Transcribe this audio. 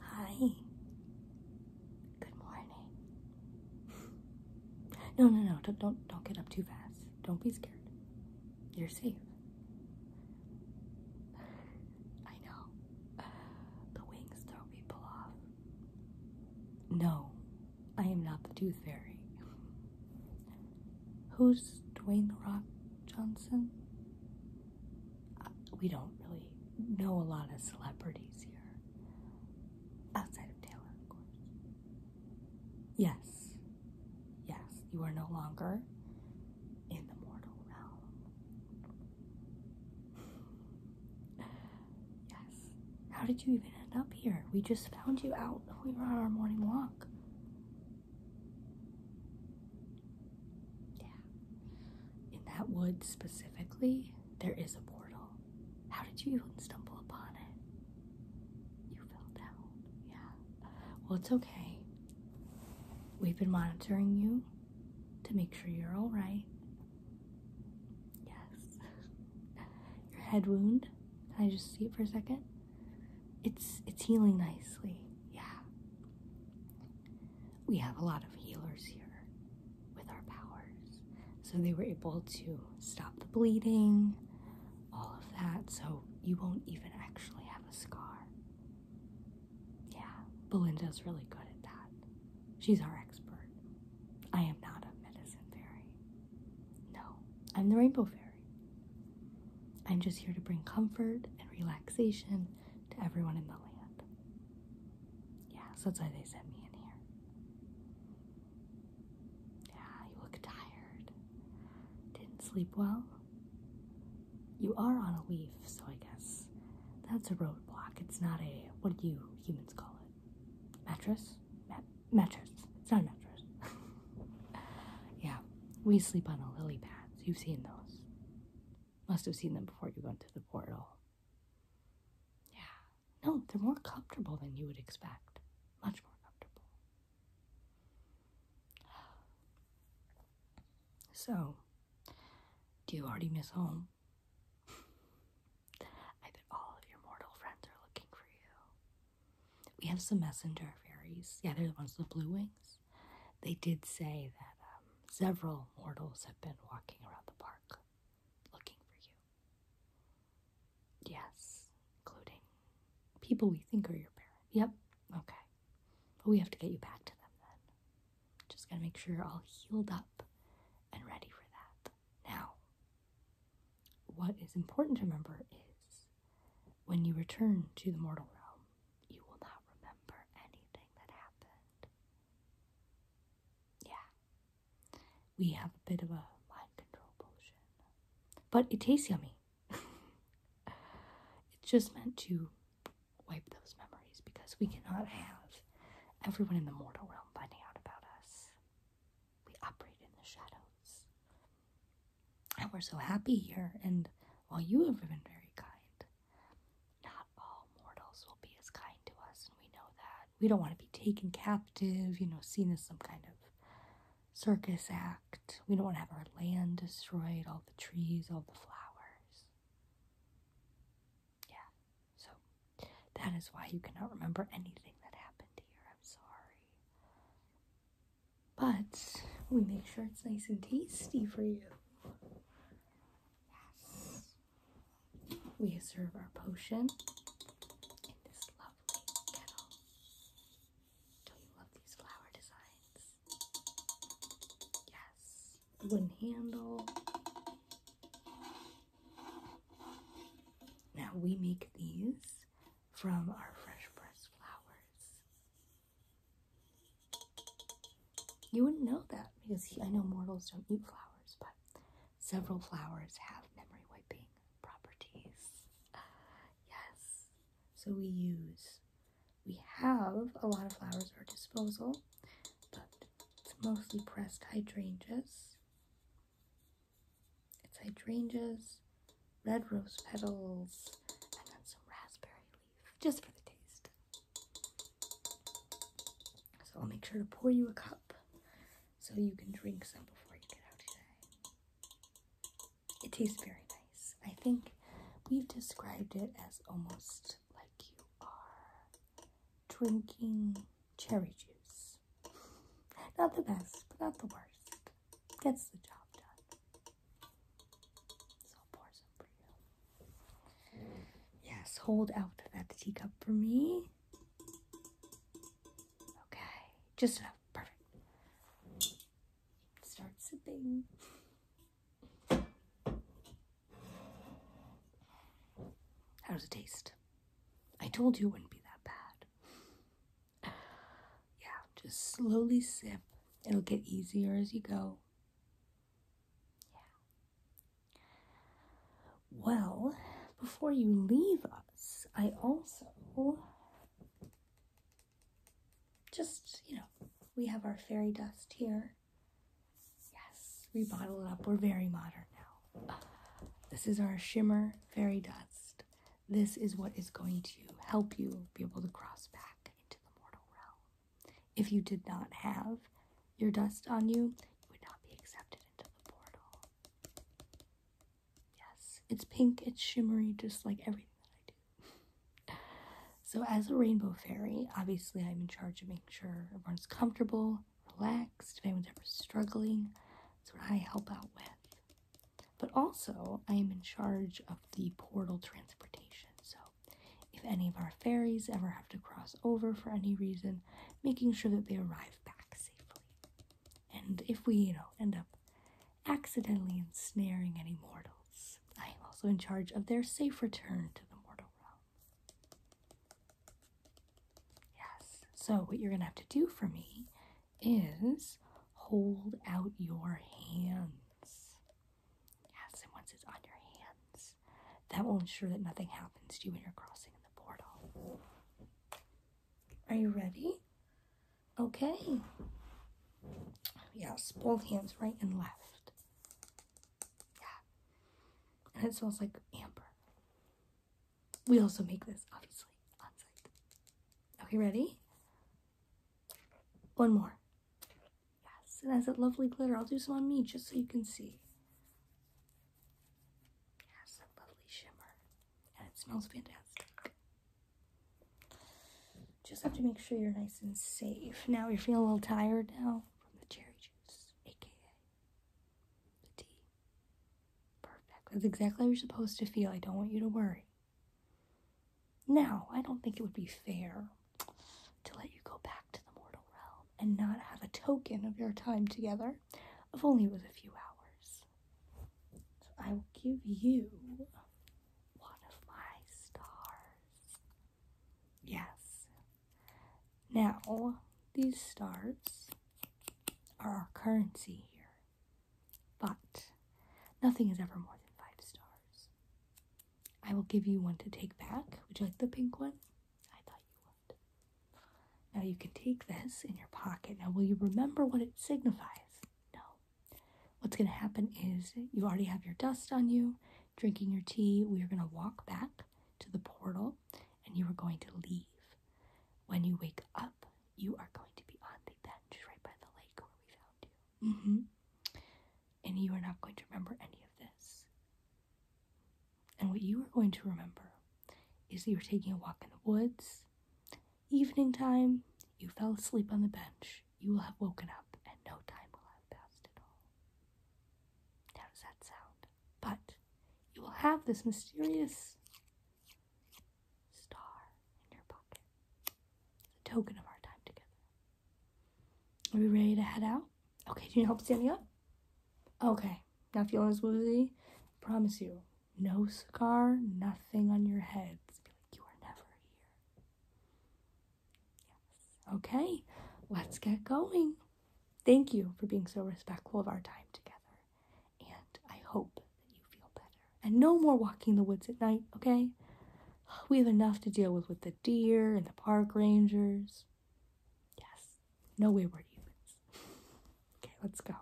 Hi. Good morning. no, no, no. Don't, don't, don't get up too fast. Don't be scared. You're safe. I know. The wings throw people off. No, I am not the tooth fairy. Who's Dwayne The Rock Johnson? we don't really know a lot of celebrities here. Outside of Taylor, of course. Yes. Yes, you are no longer in the mortal realm. yes. How did you even end up here? We just found you out. We were on our morning walk. Yeah. In that wood specifically, there is a portal. How did you even stumble upon it? You fell down. Yeah. Well, it's okay. We've been monitoring you to make sure you're all right. Yes. Your head wound. Can I just see it for a second? It's it's healing nicely. Yeah. We have a lot of healers here with our powers. So they were able to stop the bleeding, all of that. So you won't even actually have a scar. Yeah. Belinda's really good at that. She's our expert. I am not a medicine fairy. No, I'm the rainbow fairy. I'm just here to bring comfort and relaxation to everyone in the land. Yeah, so that's why they sent me in here. Yeah, you look tired. Didn't sleep well? You are on a leaf, so I guess that's a roadblock. It's not a, what do you humans call it? Mattress? mattress. It's not a mattress. yeah, we sleep on the lily pads. You've seen those. Must have seen them before you went to the portal. Yeah, no, they're more comfortable than you would expect. Much more comfortable. So, do you already miss home? I bet all of your mortal friends are looking for you. We have some messenger fairies. Yeah, they're the ones with blue wings. They did say that um, several mortals have been walking around the park looking for you. Yes, including people we think are your parents. Yep, okay. But we have to get you back to them then. Just gotta make sure you're all healed up and ready for that. Now, what is important to remember is when you return to the mortal realm, you will not remember anything that happened. Yeah. We have a bit of a mind control potion, but it tastes yummy. it's just meant to wipe those memories because we cannot have everyone in the mortal realm finding out about us. We operate in the shadows. And we're so happy here, and while you have been very kind, not all mortals will be as kind to us, and we know that. We don't want to be taken captive, you know, seen as some kind of circus act. We don't want to have our land destroyed, all the trees, all the flowers. Yeah, so that is why you cannot remember anything that happened here. I'm sorry. But we make sure it's nice and tasty for you. Yes. We serve our potion in this lovely kettle. do you love these flower designs? Yes. Wooden handle. Now we make these from our fresh pressed flowers. You wouldn't know that because I know mortals don't eat flowers, but several flowers have memory wiping properties. yes. So we use, we have a lot of flowers at our disposal, but it's mostly pressed hydrangeas it's hydrangeas, red rose petals, and then some raspberry leaf, just for the taste. So I'll make sure to pour you a cup so you can drink some before you get out today. It tastes very nice. I think we've described it as almost like you are drinking cherry juice. Not the best, but not the worst. Gets the job done. So i for you. Yes, hold out that teacup for me. Okay, just enough. Perfect. Start sipping. How does it taste? I told you it wouldn't be that bad. Yeah, just slowly sip. It'll get easier as you go. Yeah. Well, before you leave us, I also just, you know, we have our fairy dust here. Yes, we bottle it up. We're very modern now. This is our shimmer fairy dust. This is what is going to help you be able to cross back into the mortal realm. If you did not have your dust on you, you would not be accepted into the portal. Yes, it's pink, it's shimmery, just like everything that I do. So, as a rainbow fairy, obviously I'm in charge of making sure everyone's comfortable, relaxed, if anyone's ever struggling. That's what I help out with. But also, I am in charge of the portal transportation. So, if any of our fairies ever have to cross over for any reason, making sure that they arrive back safely. And if we, you know, end up accidentally ensnaring any mortals, I am also in charge of their safe return to the mortal realm. Yes. So, what you're going to have to do for me is hold out your hands. Yes, and once it's on your hands, that will ensure that nothing happens to you when you're crossing the portal. Are you ready? Okay. Yes, both hands right and left. Yeah. And it smells like amber. We also make this, obviously, on site. Okay, ready? One more. Yes, and has that lovely glitter. I'll do some on me just so you can see. Yes, lovely shimmer. And it smells fantastic. Just have to make sure you're nice and safe. Now you're feeling a little tired now from the cherry juice, aka the tea. Perfect. That's exactly how you're supposed to feel. I don't want you to worry. Now, I don't think it would be fair to let you go back to the mortal realm and not have a token of your time together, if only it was a few hours. So I will give you one of my stars. Yes. Now, these stars are our currency here, but nothing is ever more than five stars. I will give you one to take back. Would you like the pink one? I thought you would. Now you can take this in your pocket. Now, will you remember what it signifies? No. What's going to happen is you already have your dust on you, drinking your tea. We are going to walk back to the portal and you are going to leave. When you wake up, you are going to be on the bench right by the lake where we found you. Mm-hmm. And you are not going to remember any of this. And what you are going to remember is that you were taking a walk in the woods Evening time, you fell asleep on the bench. You will have woken up, and no time will have passed at all. How does that sound? But you will have this mysterious star in your pocket. a token of our time together. Are we ready to head out? Okay, do you need help standing up? Okay, Now not feeling as woozy? I promise you, no scar, nothing on your head. you are never here. Yes. Okay, let's get going. Thank you for being so respectful of our time together. And I hope that you feel better. And no more walking the woods at night, okay? We have enough to deal with with the deer and the park rangers. Yes, no wayward humans. okay, let's go.